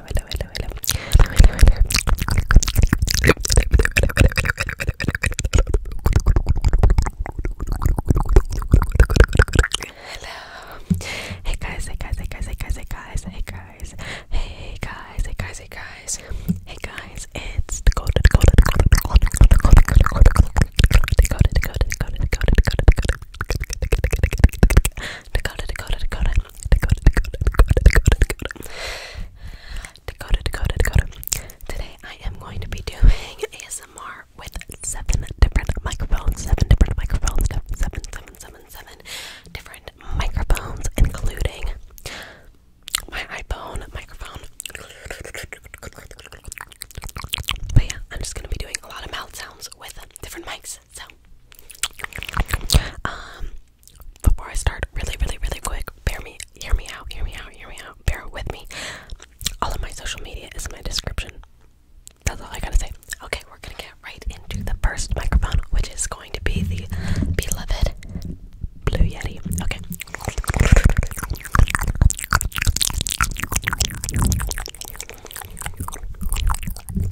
hello, Hey guys, hey guys, hey guys, hey guys, hey guys, hey guys, hey guys, hey guys, hey guys, it's the golden golden golden golden golden golden golden golden Dakota, Dakota, Dakota, Today I am going to be doing ASMR with seven different microphones, seven different microphones, seven, seven, seven, seven different microphones, including my iPhone microphone. But yeah, I'm just gonna be doing a lot of mouth sounds with different mics. So, um, before I start, really, really, really quick, bear me, hear me out, hear me out, hear me out, bear with me. All of my social media is in my description. That's all I gotta say. Okay, we're gonna get right into the first microphone, which is going to be the beloved Blue Yeti. Okay.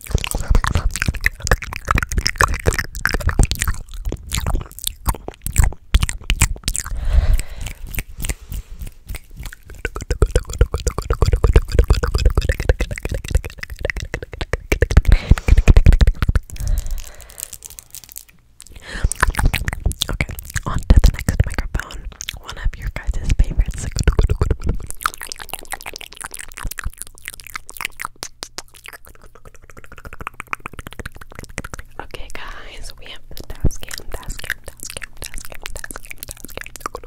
Okay, on to the next microphone. One of your guys' favorites. Okay, guys, we have the task cam, task cam, task cam, task cam, task cam, task cam. Okay.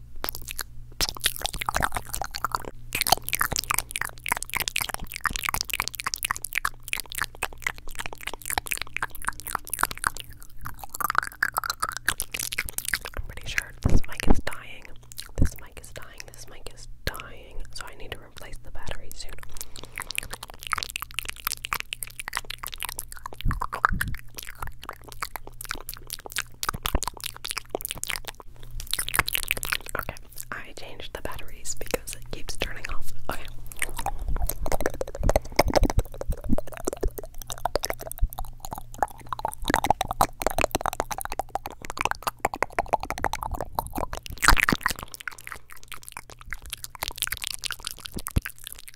I'm pretty sure this mic is dying. This mic is dying. This mic is dying. So I need to replace the battery soon. Okay, I changed the batteries because it keeps turning off.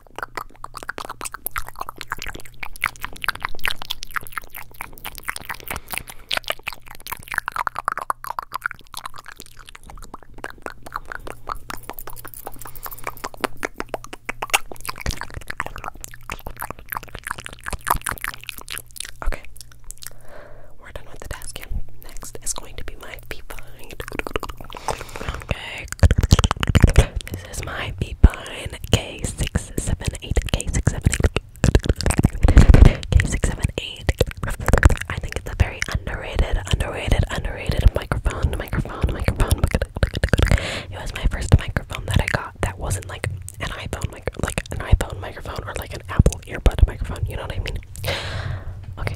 Okay, we're done with the task. Next is going to be my feet Okay, this is my Beepine K678. K678. K678. I think it's a very underrated, underrated, underrated microphone, microphone, microphone. It was my first microphone that I got that wasn't like an iPhone mic like an iPhone microphone or like an Apple earbud microphone, you know what I mean? Okay.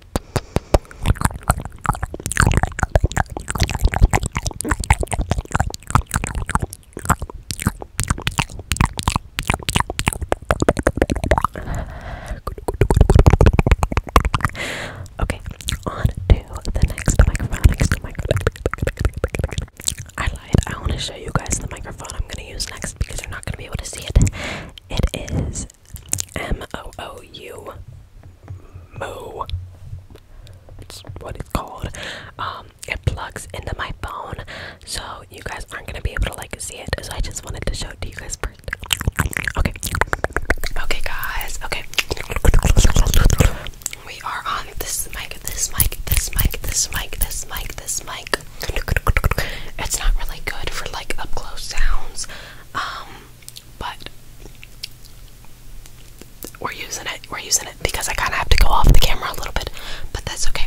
Okay, on to the next microphone. Next microphone. I lied. I want to show you guys the microphone I'm going to use next because you're not going to be able to see it. It is M O O U. Moo. It's what it's called. Um, it plugs into my phone, so you guys aren't gonna be able to like see it. So I just wanted to show to you guys first. Okay. Okay, guys. Okay. We are on this mic, this mic, this mic, this mic, this mic, this mic. It's not really good for like up close sounds. Um, but we're using it. We're using it because I kind of have to go off the camera a little bit, but that's okay.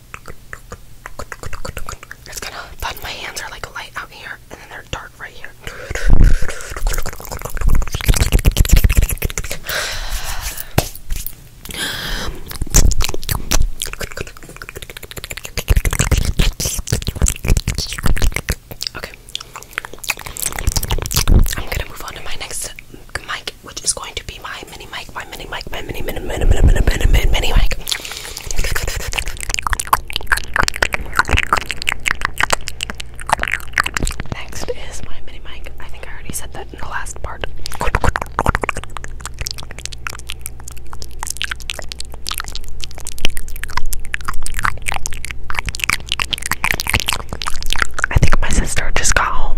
It's gonna fun. My hands are like light out here, and then they're dark right here. Okay. I'm gonna move on to my next mic mic, which is going to be my mini mic, my mini mic, my mini mini mini mini mini mini mini, mini mic. Next is my mini mic. I think I already said that in the last part. I think my sister just got home.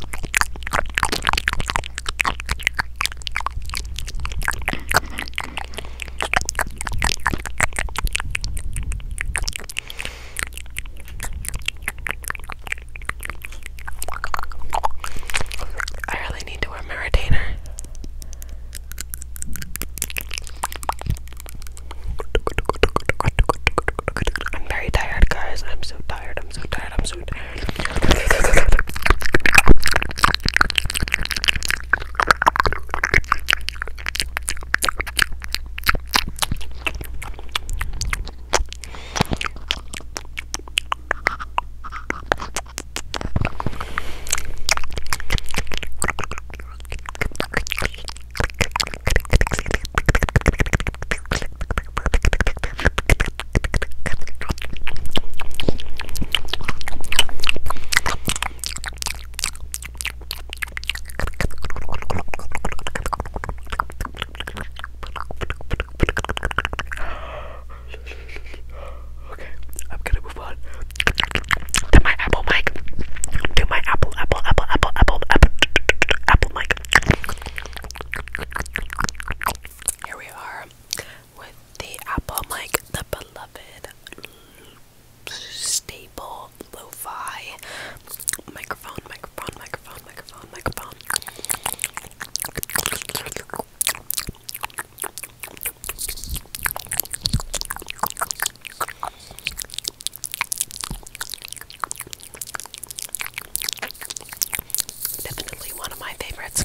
I really need to wear my retainer. I'm very tired, guys. I'm so tired. I'm so tired. I'm so tired. Okay, I'm gonna move on to my Apple mic. To my Apple, Apple, Apple, Apple, Apple, Apple, Apple mic. Here we are with the Apple Mic, the beloved staple lo-fi microphone, microphone, microphone, microphone, microphone. Definitely one of my favorites.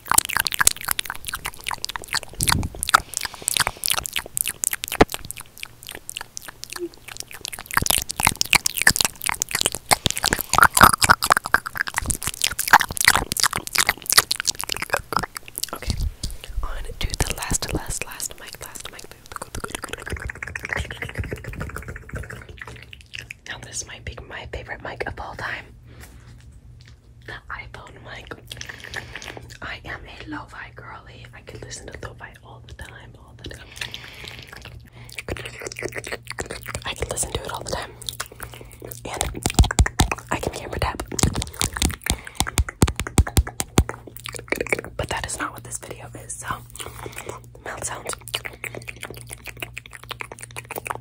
Okay, on to the last, last, last mic, last mic. Now, this might be my favorite mic of all time the iPhone mic. I am a lo girly. I could listen to lo-fi all the time, all the time. I can listen to it all the time. And I can camera tap. But that is not what this video is, so mouth sounds.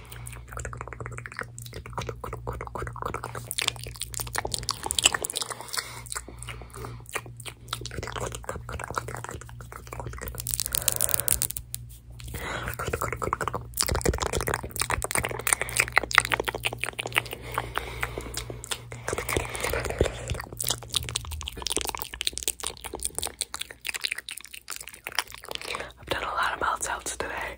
I've done a lot of mouth sounds today.